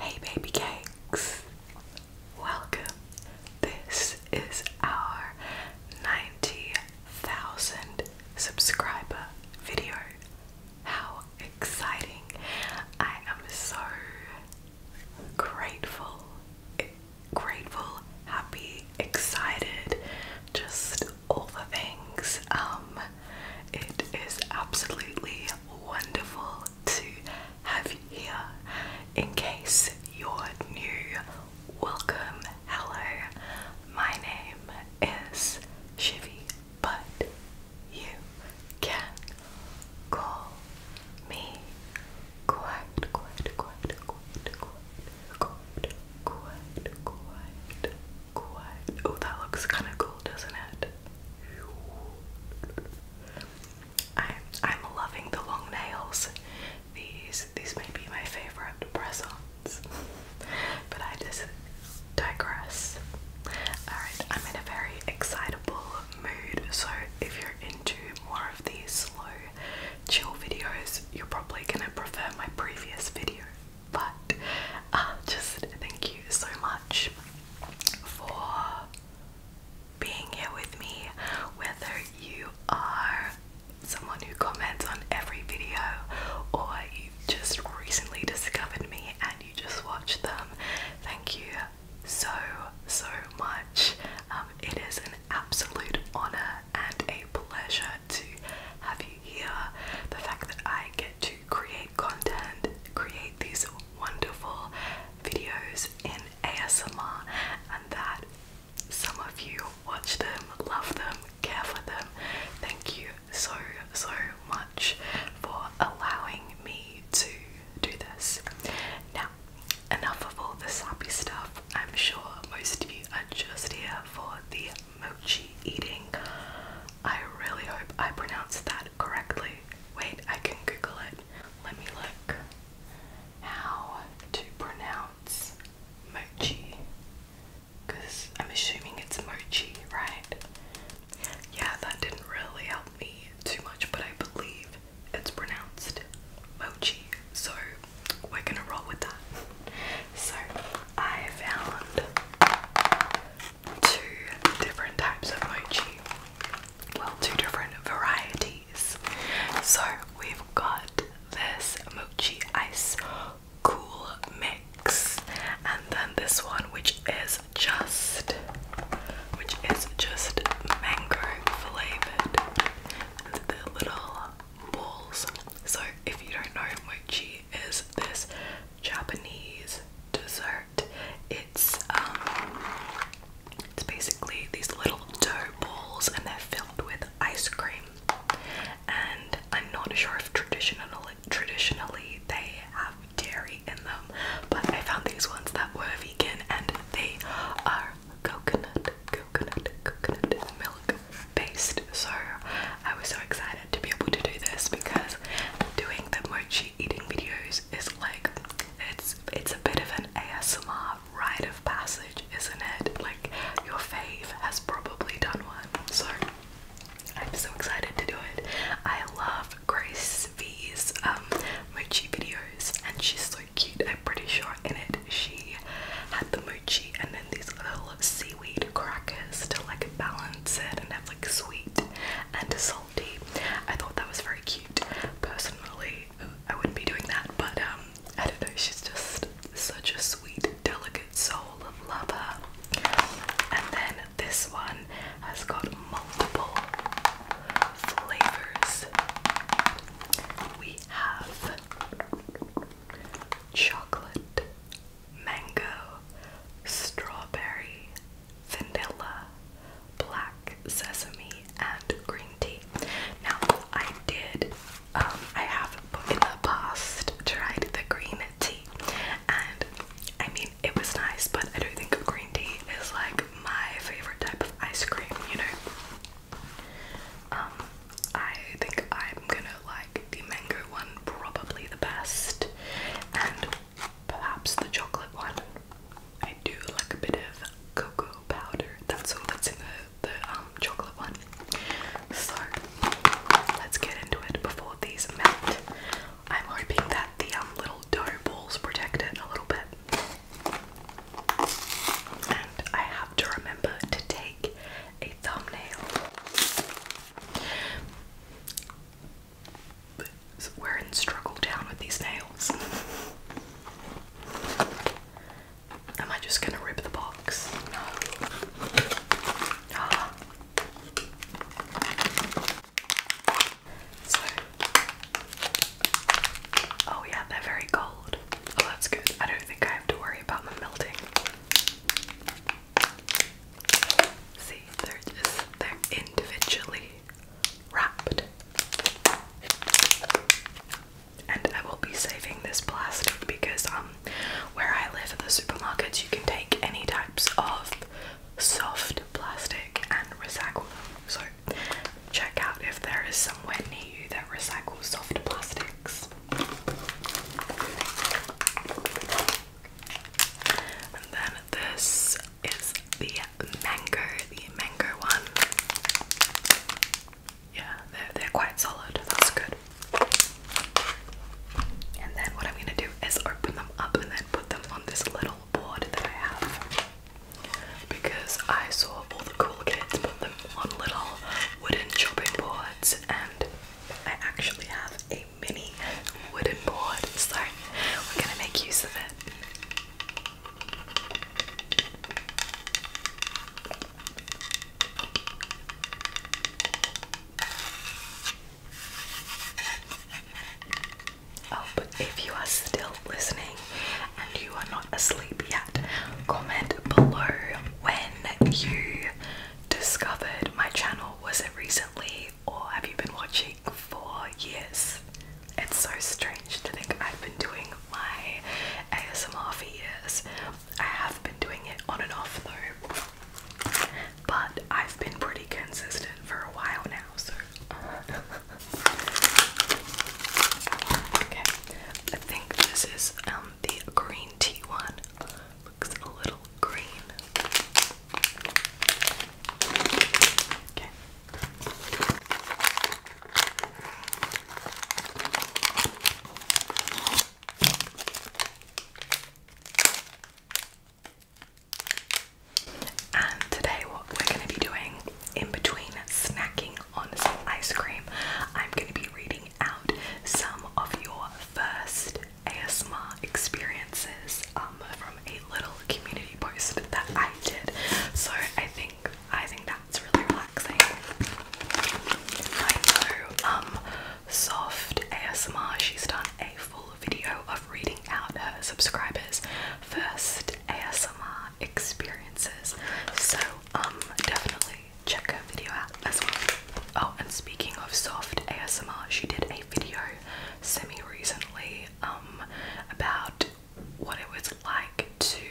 Hey, baby cakes, welcome. This is our 90,000 subscriber video. How exciting! I am so grateful, grateful, happy, excited, just all the things. Um, it is absolutely wonderful to have you here. In case you're new, welcome, hello. My name is Shivy, but you can call me quite, quite, quite, quite, quite, quite, quite, quite, quite. Oh, that looks kind of cool, doesn't it? I'm I'm loving the long nails. These these may be my favorite presents. but I just digress. Alright, I'm in a very excitable so if you're into more of these slow, chill videos, you're probably gonna prefer my previous video. But uh, just thank you so much for being here with me, whether you are someone who comments on every video or you've just recently discovered me and you just watched them. Thank you so, so much. Um, it is an absolute honor and a pleasure to have you here. The fact that I get to create content, create these wonderful videos in ASMR, and that some of you watch them, love them, care for them. Thank you so, so much for allowing me to do this. Now, enough of all the sappy stuff. I'm sure most of you are just here for the mochi eating. I really hope I pronounced that correctly. Wait, I can Google it. Let me look how to pronounce mochi. Because I'm assuming it's mochi, right? Yeah, that didn't really help me too much, but I believe it's pronounced mochi, so we're gonna roll with that. So I found two different types of mochi. Well, two different varieties. So we've got this mochi ice cool mix, and then this one, which is just which is just mango flavored little balls. So if you don't know mochi is this Japanese dessert. It's um it's basically these little dough balls and they're filled with ice cream. And I'm not sure if traditional traditionally they have dairy in them, but I found these ones that were vegan and they are coconut, coconut, coconut milk based. So I was so excited to be able to do this because doing the mochi eating videos is like it's it's a bit of an ASMR rite of passage, isn't it? Like your fave has probably done one. So I'm so excited to do it. I love Grace these um, mochi videos and she's so cute. I'm pretty sure in it she had the mochi and then these little seaweed crackers to like balance it and have like sweet and salty. I thought that was very cute. Personally, I wouldn't be doing that, but um I don't know, she's just such a sweet, delicate soul of lover. And then this one has got multiple flavors. We have chocolate, mango, strawberry, vanilla, black sesame, and green tea. Now, I did, um, I have in the past tried the green tea, and I mean it was nice but I don't think green tea is like my favorite type of ice cream you know um, I think I'm gonna like the mango one probably the best and perhaps the chocolate one I do like a bit of cocoa powder that's all that's in the, the um chocolate one so let's get into it before these melt I'm hoping that the um, little dough balls protect it a little bit. And I have to remember to take a thumbnail. we're in struggle down with these nails. Am I just gonna rip the box? Ah oh yeah, they're very cold. Oh, that's good. I don't think I have to worry about them melting. See, they're just they're individually wrapped. And I will be saving this plastic because um where I live the supermarkets you can take any types of soft plastic and recycle them. So check out if there is somewhere near you that recycles soft plastics. And then this is the mango, the mango one. Yeah, they're, they're quite solid, that's good. And then what I'm gonna do is open them up and then put them on this little board that I have because I saw all the cool kids put them on little wooden chopping boards, and I actually have a mini wooden board, so we're gonna make use of it. Oh, but if you are still listening and you are not asleep yet, comment below when you discovered my channel. Was it recently or have you been watching for years? It's so strange to think I've been doing my ASMR for years. I have been doing it on and off though but I've been pretty consistent for a while now, so. Uh, okay, I think this is um, the green tea one. Looks a little green. Okay. And today, what we're going to be doing in between snacking on some ice cream, I'm going to be reading out some of your first ASMR experiences um, from a little community post that I did. So I think I think that's really relaxing. I know um, Soft ASMR, she's done a full video of reading out her subscribers' first ASMR experiences. So um definitely check her video out as well. Oh, and speaking of soft ASMR, she did a video semi recently um about what it was like to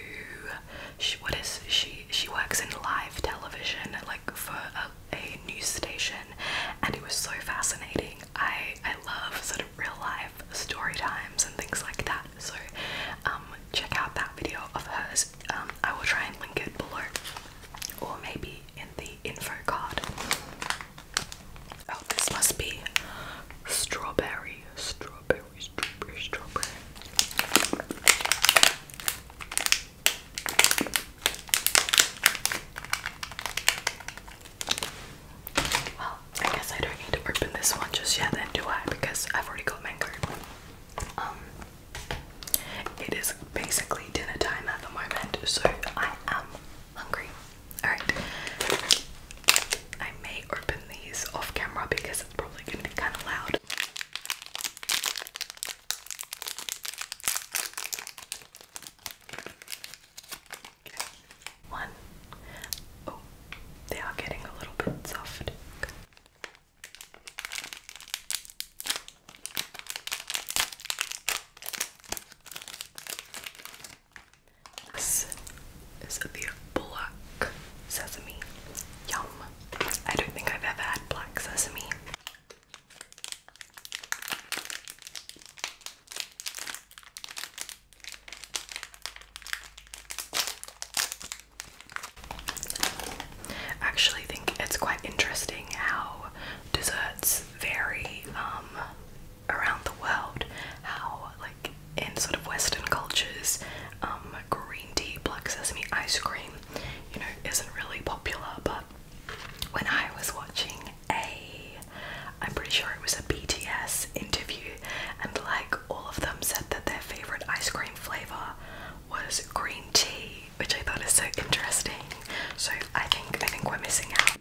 she, what is she she works in live television like for a news station and it was so fascinating I I love sort of real life story times and things like that. So um, check out that video of hers. Um, I will try and link it below, or maybe in the info card. Oh, this must be strawberry, strawberry, strawberry, strawberry. Well, I guess I don't need to open this one just yet, then do I? Because I've already got mango. Um, it is basically dinner time at the moment, so I am hungry. Alright. I may open these off camera because it's probably gonna be kinda loud. One. Oh, they are getting a little bit soft. This is the black sesame. Yum. I don't think I've ever had black sesame. I actually think it's quite interesting how desserts vary um, around the world. How, like, in sort of Western cultures, um, green tea, black sesame ice cream, you know, isn't really popular. But when I was watching a I'm pretty sure it was a BTS interview and like all of them said that their favorite ice cream flavor was green tea, which I thought is so interesting. So I think I think we're missing out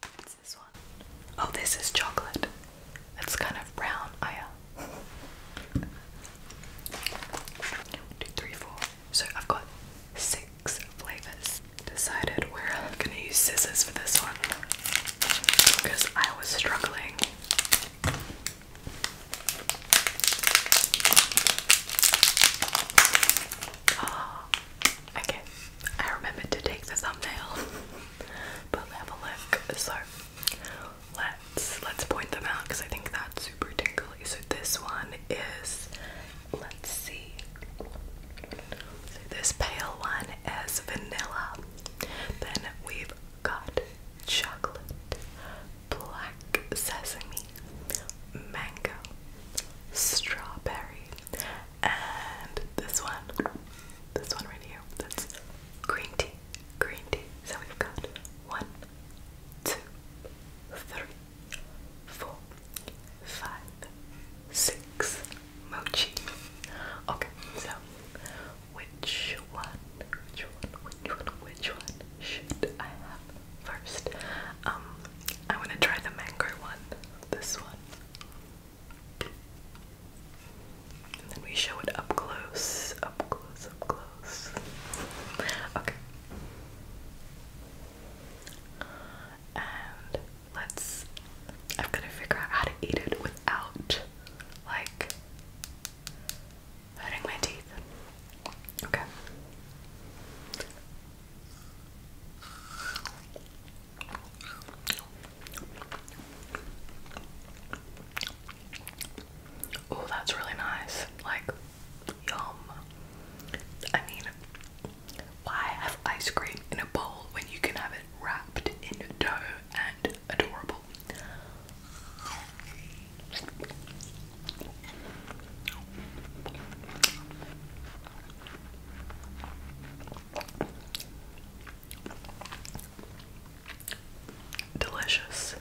this Oh, this is chocolate. It's kind of brown. Oh yeah. So I've got six flavors. Decided we're gonna use scissors for this one because I was struggling. Oh, okay. I remembered to take the thumbnail. but have a look. So let's let's point them out because I think that's super tingly. So this one is let's see. this pale one is vanilla. Then we've got chocolate, black sesame, mango, strawberry, and this one, this one right here, that's green tea, green tea. So we've got one, two, three, four, five, six mochi. Okay, so which one, which one, which one, which one should I have first? Um, I want to try the mango one. This one. And then we show it up close, up close, up close. Okay. And let's. I'm gonna figure out how to eat it without, like, hurting my teeth. Okay. Oh, that's really nice. Like, yum. I mean, why have ice cream in a bowl when you can have it wrapped in dough and adorable? Delicious.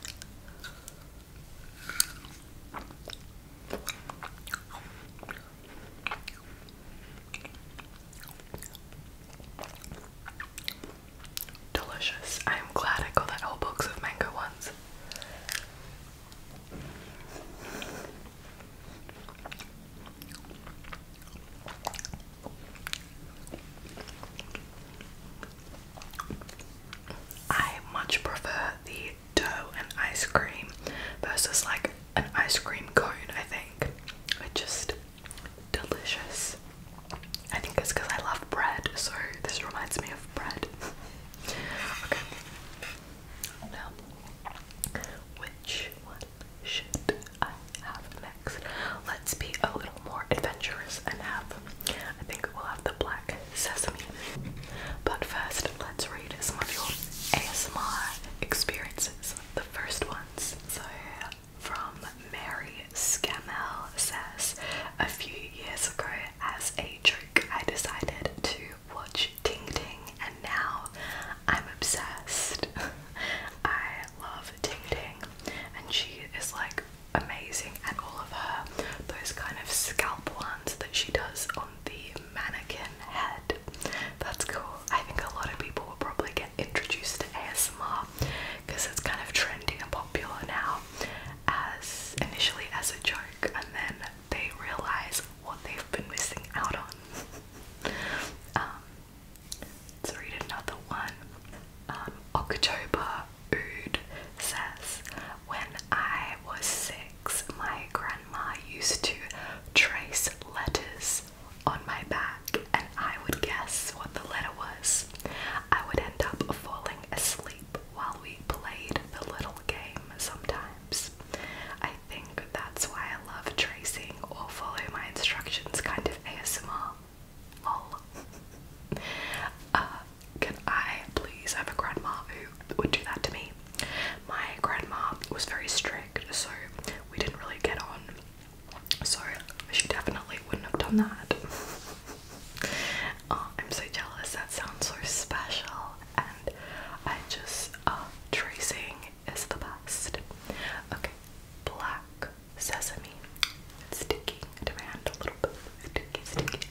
Delicious. I am glad I got that whole box of mango ones. I much prefer the dough and ice cream versus like an ice cream cone, I think. It's just delicious. I think it's because I love bread, so this reminds me of bread. okay. Now, which what should I have next? Let's be a little more adventurous and have, I think we'll have the black sesame. But first, let's read some of your ASMR experiences, the first ones. So, from Mary Scamel says, a few years ago, as a joke, I decided to watch Ting Ting now I'm obsessed. I love Ting Ting, and she is like amazing at all of her those kind of scalp ones that she does on the mannequin head. That's cool. I think a lot of people will probably get introduced to ASMR because it's kind of trending and popular now as initially as a joke and then they realize what they've been missing out on. Um, Let's read another one. Um, October Ood says, When I was six, my grandma used to trace letters on my back, and I would guess what the letter was. I would end up falling asleep while we played the little game sometimes. I think that's why I love tracing or follow my instructions kind of ASMR. Lol. Uh, can I please have a grandma who would do that to me? My grandma was very strict, so we didn't really get on. Sorry, she definitely wouldn't have done that. Oh, I'm so jealous. That sounds so special. And I just, uh, tracing is the best. Okay, black sesame. sticking to my hand a little bit. Sticky, sticky.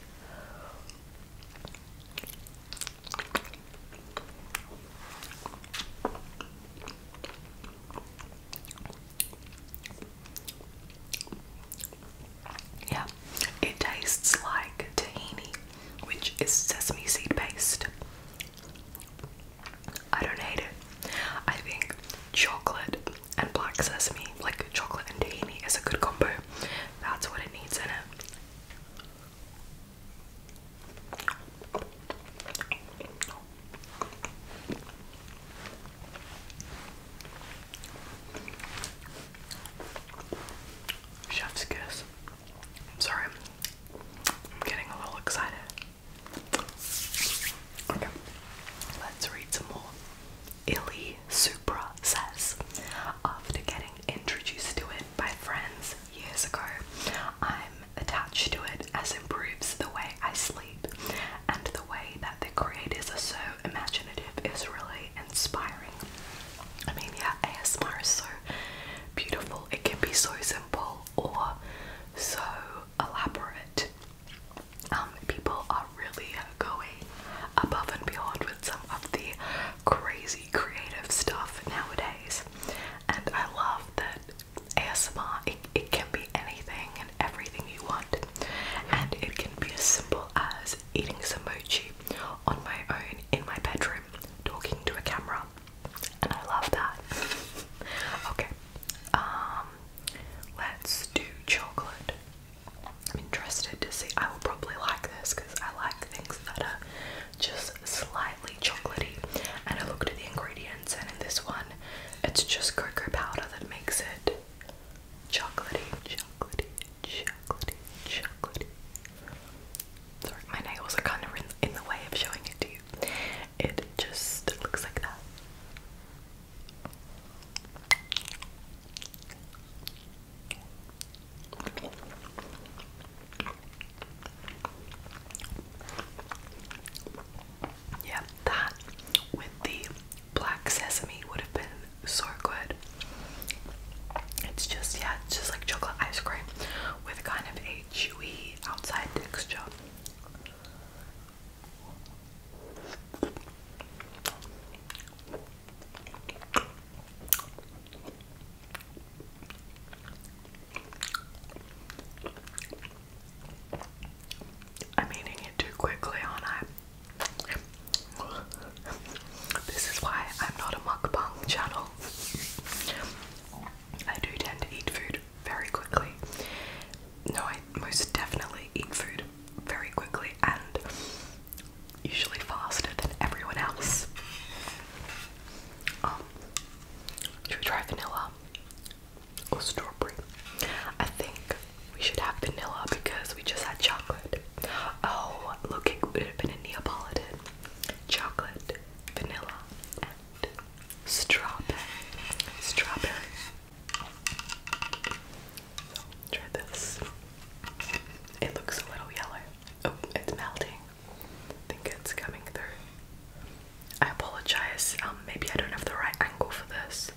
Yeah, it tastes like tahini, which is sesame seed paste. I don't hate it. I think chocolate and black sesame, like chocolate and tahini, is a good combo. That's what it needs in it. Chef's kiss. I'm sorry, I'm getting a little excited. Okay, let's read some more. Illy Supra says, after getting introduced to it by friends years ago, I'm attached to it as it improves the way I sleep, and the way that the creators are so imaginative is really inspiring. I mean, yeah, ASMR is so beautiful. It can be so simple or so elaborate. Um, people are really going above and beyond with some of the crazy creative stuff nowadays, and I love that ASMR. it can be anything and everything you want, and it can be as simple as eating some mochi on my own in my bedroom, talking to a camera and I love that. okay, um, let's do chocolate. I'm interested to see. I will probably like this because I like things that are just slightly chocolatey. And I looked at the ingredients, and in this one, it's just cocoa powder that makes it chocolatey, chocolatey, chocolatey, chocolatey. Sorry, my nails are kind of in, in the way of showing it to you. It just looks like that. Yeah, that with the black sesame would have been so good. It's just yeah, it's just like chocolate ice cream with kind of a chewy outside texture. I'm eating it too quickly, aren't I? this is why I'm not a mukbang channel. I do tend to eat food very quickly. No, I most definitely eat food very quickly and usually faster than everyone else. Um, should we try vanilla or strawberry? I think we should have vanilla because we just had chocolate. Oh, looking good. it would have been a Neapolitan. Chocolate, vanilla, strawberry, strawberry. try this. It looks a little yellow. Oh, it's melting. I think it's coming through. I apologize. Um, maybe I don't have the right angle for this.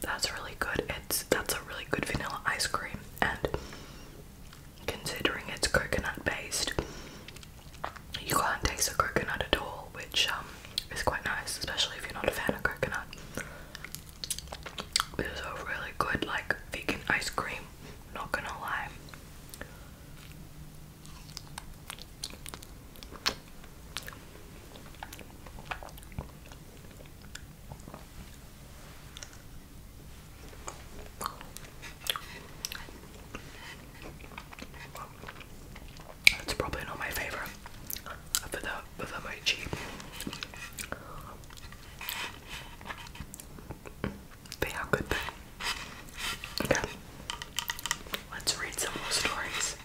That's really good. It's that's a really good vanilla ice cream and considering it's coconut based you can't taste the coconut at all, which um, is quite nice, especially if you're not a fan of coconut. This is a really good like vegan ice cream, not gonna lie. It's probably not my favorite but for the for the mochi. They are good though. Okay. Let's read some more stories.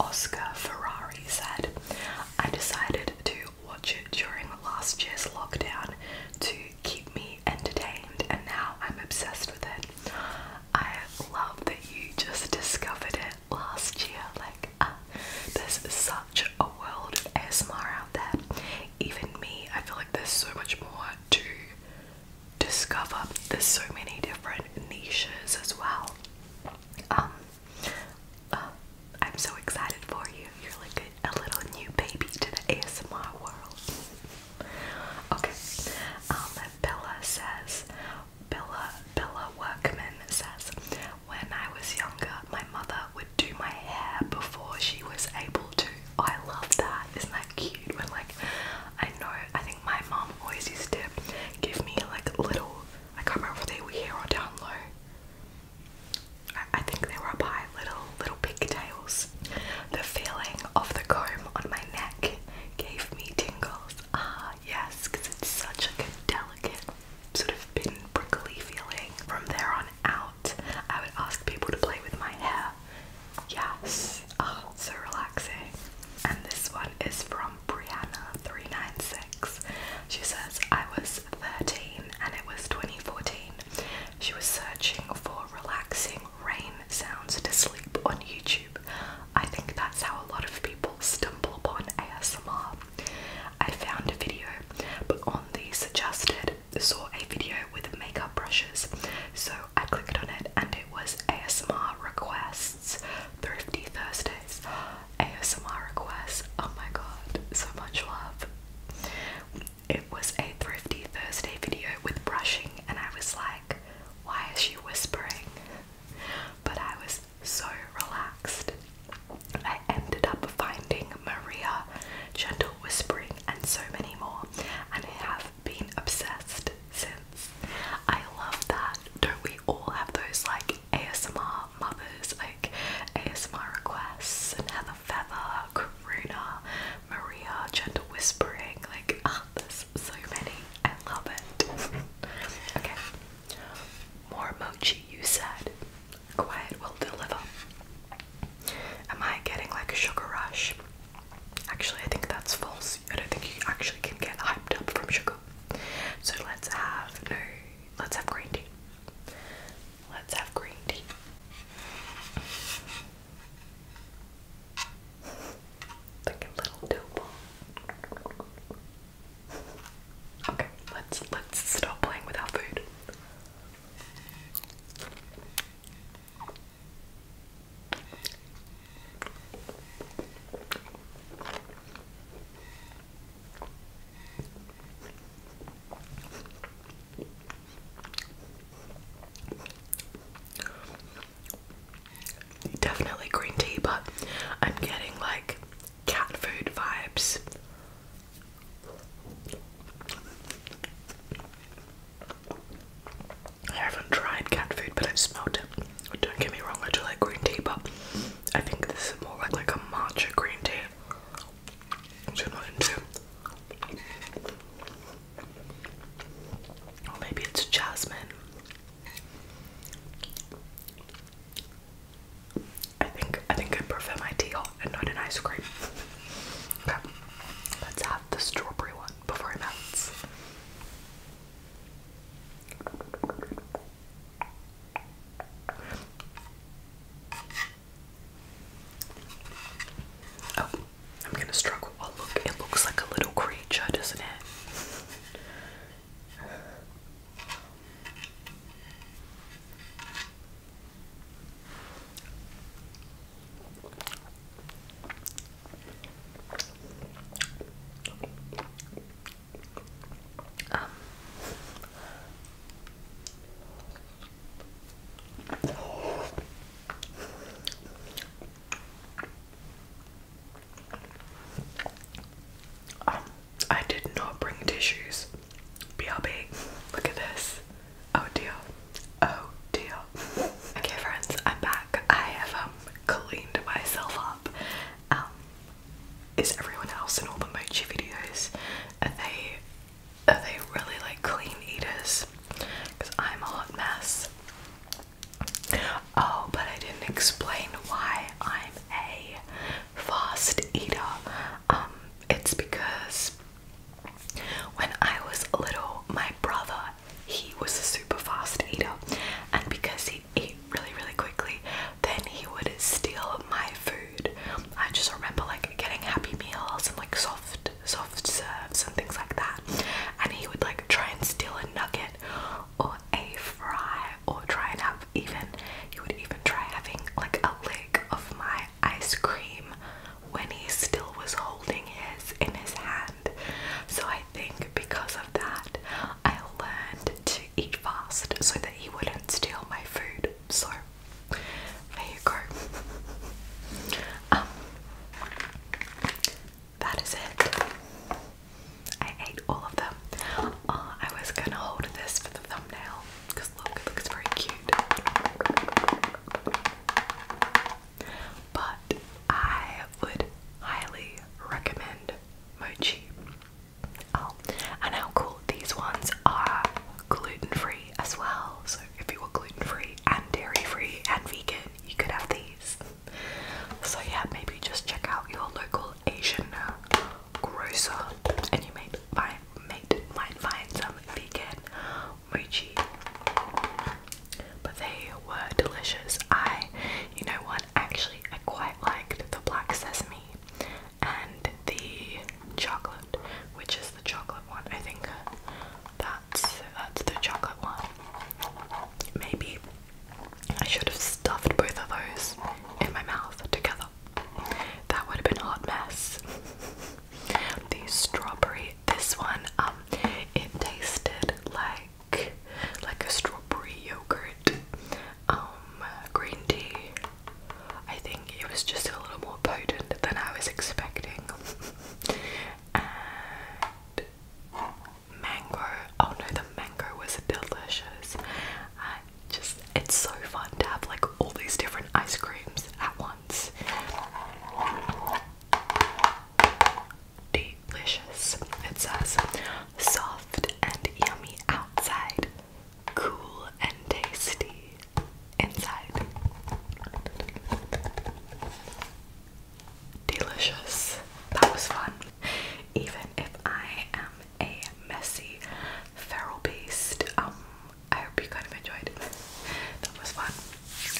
Oscar Ferrari said, I decided to watch it during last year's lockdown to keep me entertained, and now I'm obsessed with it. I love that you just discovered it last year. Like, ah, there's such a world of ASMR out there. Even me, I feel like there's so much more to discover there's so many different niches as well. Um, uh, I'm so excited for you. You're like a, a little new baby to the ASMR world. okay, um, Bella says, Bella, Bella Workman says, when I was younger, my mother would do my hair before she was able to I love that. Isn't that cute? When like I know I think my mom always used to give me like little I can't remember if they were here or down low. I, think they were a high, little little pigtails. The feeling of the comb on my neck gave me tingles. Ah yes, because it's such like a delicate sort of bit prickly feeling. From there on out, I would ask people to play with my hair Yes. Oh, so relaxing. And this one is from Brianna396. She says, I was 13 and it was 2014. She was searching for relaxing rain sounds to sleep on YouTube. I think that's how a lot of people stumble upon ASMR. I found a video, but on the suggested saw a video with makeup brushes, so I clicked on it and it was ASMR requests, Thrifty Thursdays. ASMR requests, oh my god, so much love. It was a Thrifty Thursday video with brushing, and I was like, why is she whispering? But I was so relaxed. I ended up finding Maria, Gentle Whispering, and so many more and I have been obsessed since. I love that. Don't we all have those like ASMR mothers, like ASMR requests and Heather Feather, Karuna, Maria, Gentle Whispering, like ah, there's so many. I love it. okay. More mochi you said. Quiet will deliver. Am I getting like a sugar rush? Actually, I think that's false. I don't think you actually can get hyped up from sugar. So let's have no. Let's have green tea. Let's have green tea. Like a little dope. Okay, let's let's stop playing with our food. Definitely green tea, but I'm getting like cat food vibes. I haven't tried cat food, but I've smelled it. Don't get me wrong, I do like green tea, but I think this is more like, like a matcha green tea, which I'm Or maybe it's jasmine. I think I think I prefer my tea hot and not an ice cream. Okay, let's have the strawberry one before it melts. Oh, I'm gonna struggle. Oh, look, it looks like a little creature, doesn't it? Um, I did not bring tissues. BRB. Look at this. Oh dear. Oh dear. okay friends, I'm back. I have um cleaned myself up. Um is everyone else in all the mochi videos are they are they really like clean eaters? Because I'm a hot mess. Oh, but I didn't explain why I'm a fast eater. Um, it's because when I was little, my brother, he was a super fast eater, and because he ate really, really quickly, then he would steal my food. I just remember like getting happy meals and like soft, soft serves and things like that, and he would like try and steal a nugget or a fry or try and have even he would even try having like a leg of my ice cream when he still was holding his in his hand. So I think because of that, I learned to eat fast so that he wouldn't steal my food. So there you go. Um, that is it. I ate all of them. Uh, I was gonna hold this for the thumbnail because look, it looks very cute. But I would highly recommend mochi. Oh, and how cool these ones are gluten free as well. So if you were gluten free and dairy free and vegan, you could have these. So yeah, maybe just check out your local Asian uh, grocer and you might find, might, find some vegan mochi. But they were delicious. I, you know what, actually, I quite liked the black sesame and the chocolate, which is the chocolate one. I think that's that's the chocolate one. Maybe I should have stuffed both of those in my mouth together. That would have been a hot mess. the strawberry this one um it tasted like like a strawberry yogurt um green tea. I think it was just a little more potent than I was expecting. and mango. Oh no, the mango was delicious. just it's so fun to have like all these different ice creams at once. Delicious. It says soft and yummy outside, cool and tasty inside. Delicious. That was fun. Even if I am a messy feral beast, um, I hope you kind of enjoyed. that was fun.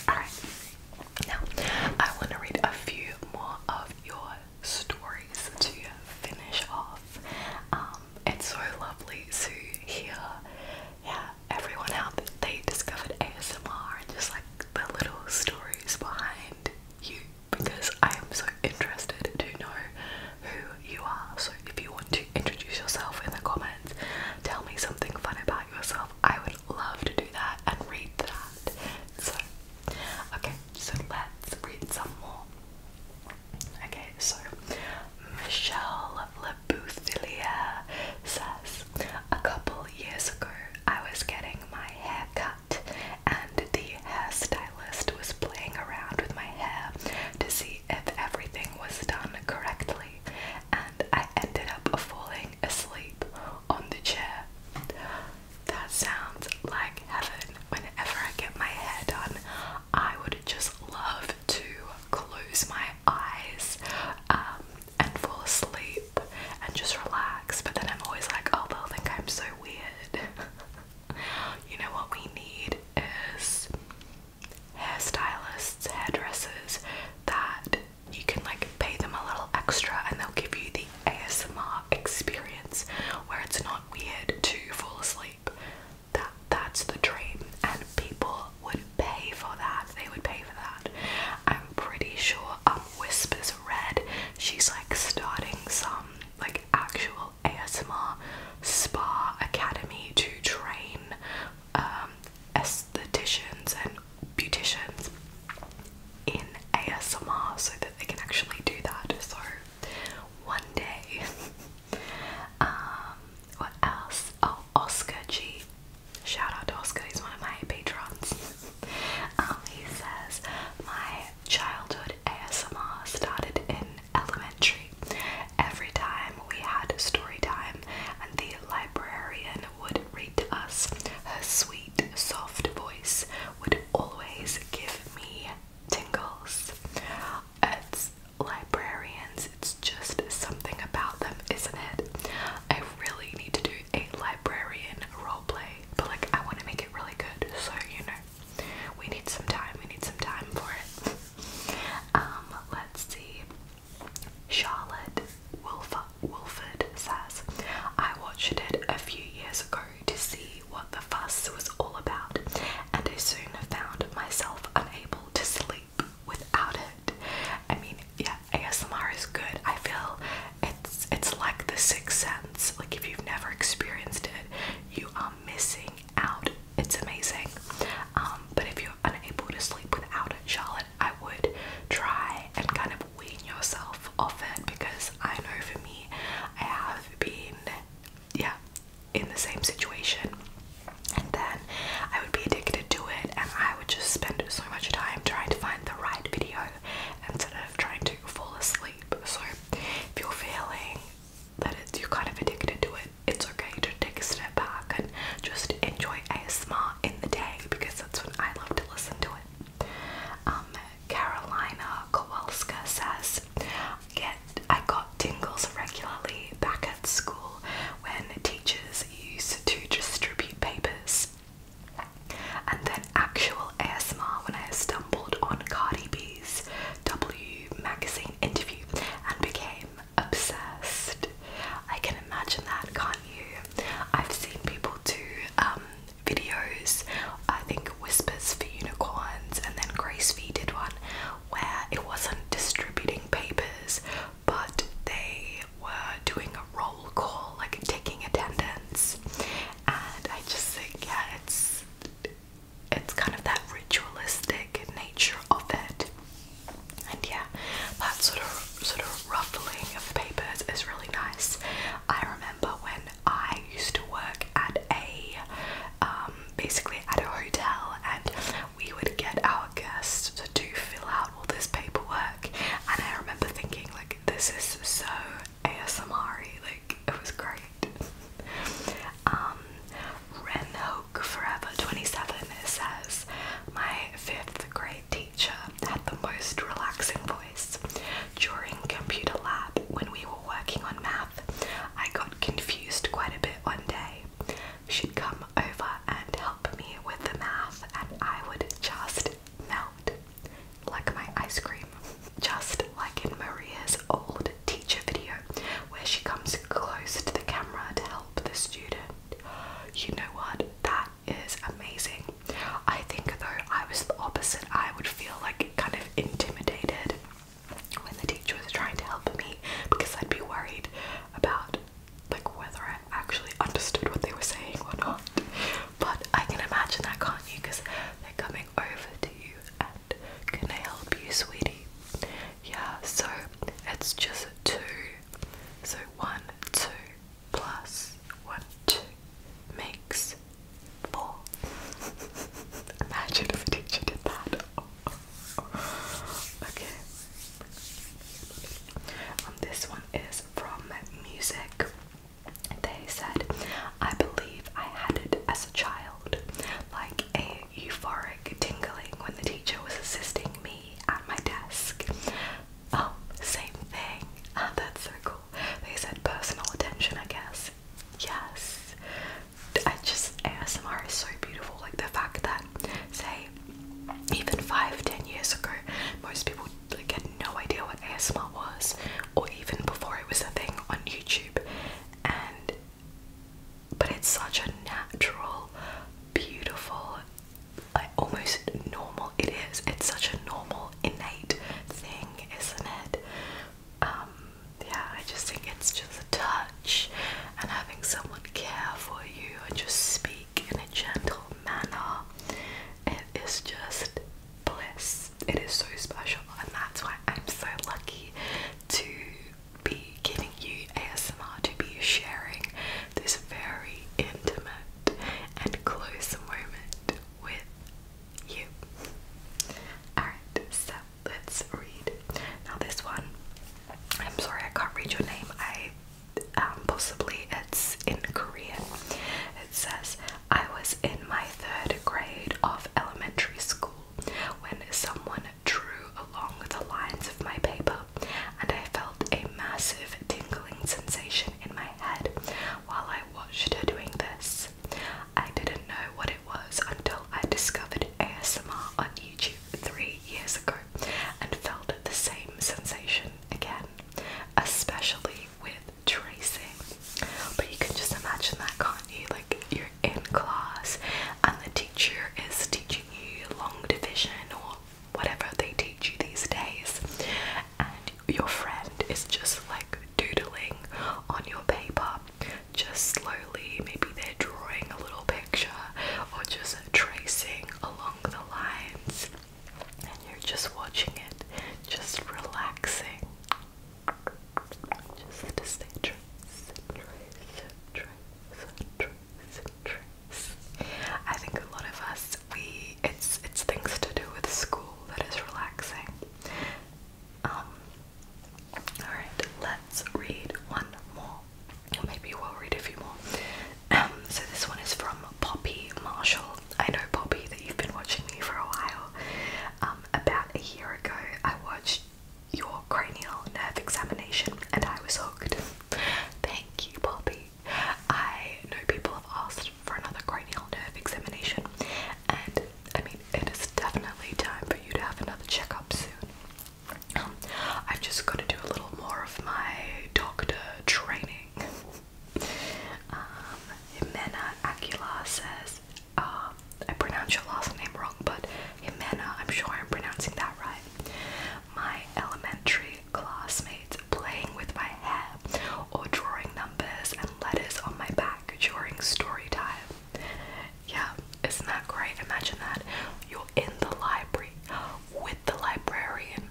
Alright, now I want to read a few more of your stories to finish off. Um, it's so lovely to hear yeah, everyone how they discovered ASMR and just like the little stories behind you because I am so interested to know who you are. So if you want to introduce yourself in the comments. Tell me something fun about yourself. I would love to do that and read that. So, okay, so let's read some more. Okay, so Michelle Labouthillier says, A couple years ago, I was getting my hair cut, and the hairstylist was playing around with my hair to see if everything was done correctly and I ended up falling asleep on the chair. That sounds like heaven. Whenever I get my hair done, I would just love to close my eyes um, and fall asleep and just relax. But then I'm always like, oh, they'll think I'm so weird. you know what we need is hairstylists, hairdressers that you can like pay them a little extra and they'll give you the ASMR experience where it's not weird to fall asleep. That that's the dream and people would pay for that. They would pay for that. I'm pretty sure um Whispers Red, she's like starting some like actual ASMR spa academy to train um, aestheticians and beauticians in ASMR so that they can actually do that. So, one day. um, what else? Oh, Oscar G. Shout out to Oscar, he's one of my patrons. um, he says, My childhood ASMR started in elementary Every time we had story time, and the librarian would read to us, her sweet, soft voice would always give me tingles. It's librarians, it's just something about them, isn't it? I really need to do a librarian role play, but like I want to make it really good, so you know, we need some time, we need some time for it. Um, let's see. Charlotte Wilford, says, I watched it a few years ago to see what the fuss was all about, and I soon found myself unable to sleep without it. I mean, yeah, ASMR is good. I feel it's it's like the sixth sense. Like if you've never experienced it, you are missing out it's amazing. Um, but if you're unable to sleep without it, Charlotte, I would try and kind of wean yourself off it because I know for me, I have been, yeah, in the same situation. And then I would be addicted to it, and I would just spend so much time trying to find the right video instead of trying to fall asleep. So if you're feeling that it's, you're kind of addicted to it, it's okay to take a step back and just enjoy asthma in the day because that's when I love to listen to it. Um, Carolina Kowalska says, Get I got tingles regularly back at school when teachers used to distribute papers. And then actual asthma when I stumbled on Cardi B's W magazine interview and became obsessed. I can imagine that, can't you? I've seen people do um, videos, I think Whispers for Unicorns, and then Grace V did one where it wasn't distributing papers, but they were doing a roll call, like taking attendance. And I just think, yeah, it's it's kind of that ritualistic nature of it and yeah, that sort of sort of ruffling of papers is really nice. I remember when I used to work at a um, basically at a hotel, and we would get our guests to do fill out all this paperwork. And I remember thinking, like, this is so ASMR like it was great. Um, Renhoke Forever 27 says, My fifth grade teacher had the most relaxing voice. During computer lab, when we were working on math, I got confused quite a bit one day. She'd come over and help me with the math, and I would just melt like my ice cream. Just like in Maria's old teacher video, where she comes close to the camera to help the student. You know what? That is amazing. I think though I was the opposite. I would feel like kind of intimidated when the teacher was trying to help me because I'd be worried about like whether I actually understood what they were saying or not. But I can imagine that, can't you? Because they're coming over to you and can I help you, sweetie? Yeah, so it's just two. So one, two plus one, two makes four. Imagine if a teacher did that. okay. Um, this one is from music. They said, I believe I had it as a child, like a euphoric tingling when the teacher was assisting me at my desk. Oh, same thing. Oh, that's so cool. They said personal attention, I guess. Yes. I just, ASMR is so beautiful. Like the fact that, say, even five, ten years ago, most people like had no idea what ASMR was, or even before it was a thing on YouTube. And but it's such a natural, beautiful, like almost normal. It is. It's such a normal, innate thing, isn't it? Um, yeah, I just think it's just a touch and having someone care for you and just speak in a gentle manner. It is just bliss. It is so special, and that's why I'm so lucky to be giving you ASMR to be sharing this very intimate and close moment with you. Alright, so let's read. Now, this one, I'm sorry I can't read your name. I um, possibly it's in Korean. It says, I was in my third grade of elementary school when someone drew along the lines of my paper, and I felt a massive tingling sensation in my head while I watched her doing this. I didn't know what it was until I discovered ASMR on YouTube three years ago and felt the same sensation again, especially with tracing. But you can just imagine that, can't you? Like, you're in class and the teacher is teaching teach long division or whatever they teach you these days, and your friend is just like doodling on your paper, just slowly, maybe they're drawing a little picture or just tracing along the lines, and you're just watching it, just relaxing. Just to stay true, true, I think a lot of us we it's it's things to do with school that is relaxing. Um, alright, let's read one more. Or maybe we'll read a few more. Um, so this one is from Poppy Marshall. I know Poppy that you've been watching me for a while. Um, about a year ago I watched your cranial nerve examination, and I was hooked. Thank you, Poppy. I know people have asked for another cranial nerve examination, and I mean, it is definitely time for you to have another checkup soon. Um, I've just got to do a little more of my doctor training. um, Jimena says, uh, I pronounced your last name wrong, but Jimena, I'm sure I'm pronouncing that right. My elementary classmates playing with my hair or drawing numbers and letters on my back during story time. Yeah, isn't that great? Imagine that. You're in the library with the librarian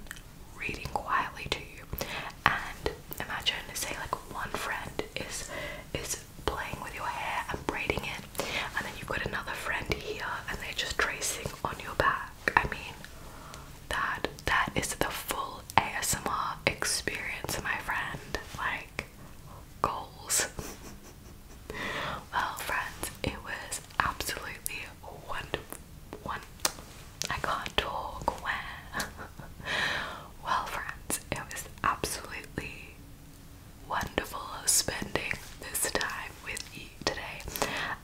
reading quietly to you. And imagine say like one friend is is playing with your hair and braiding it and then you've got another friend here and they're just tracing on your back. I mean that that is the full ASMR experience, my friend. Like goals. well friends, it was absolutely wonderful one I can't talk well friends, it was absolutely wonderful spending this time with you today.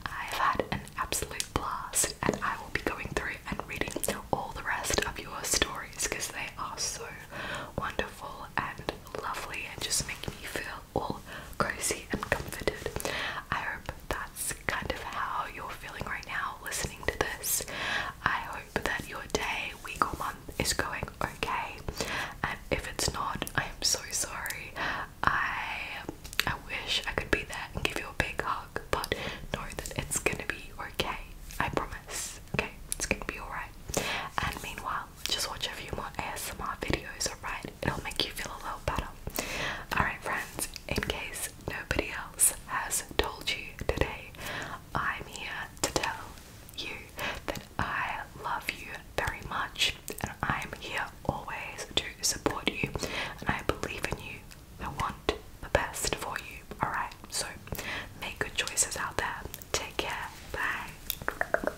I've had an absolute blast, and I will be going through and reading all the rest of your stories because they are so wonderful and lovely and just make me feel all cozy and comforted. I hope that's kind of how you're feeling right now listening to this. I hope that your day, week, or month is going okay. And if it's not, I am so sorry. I I wish I could be there and give you a big hug, but know that it's gonna be okay. I promise. Okay, it's gonna be alright. And meanwhile, just watch a few more ASMR videos, alright? It'll make you feel a little better. Alright, friends, in case nobody else has told you today, I'm here to tell you that I love you very much and I'm here always to support you and I believe in you. I want the best for you. Alright, so make good choices out there. Take care. Bye.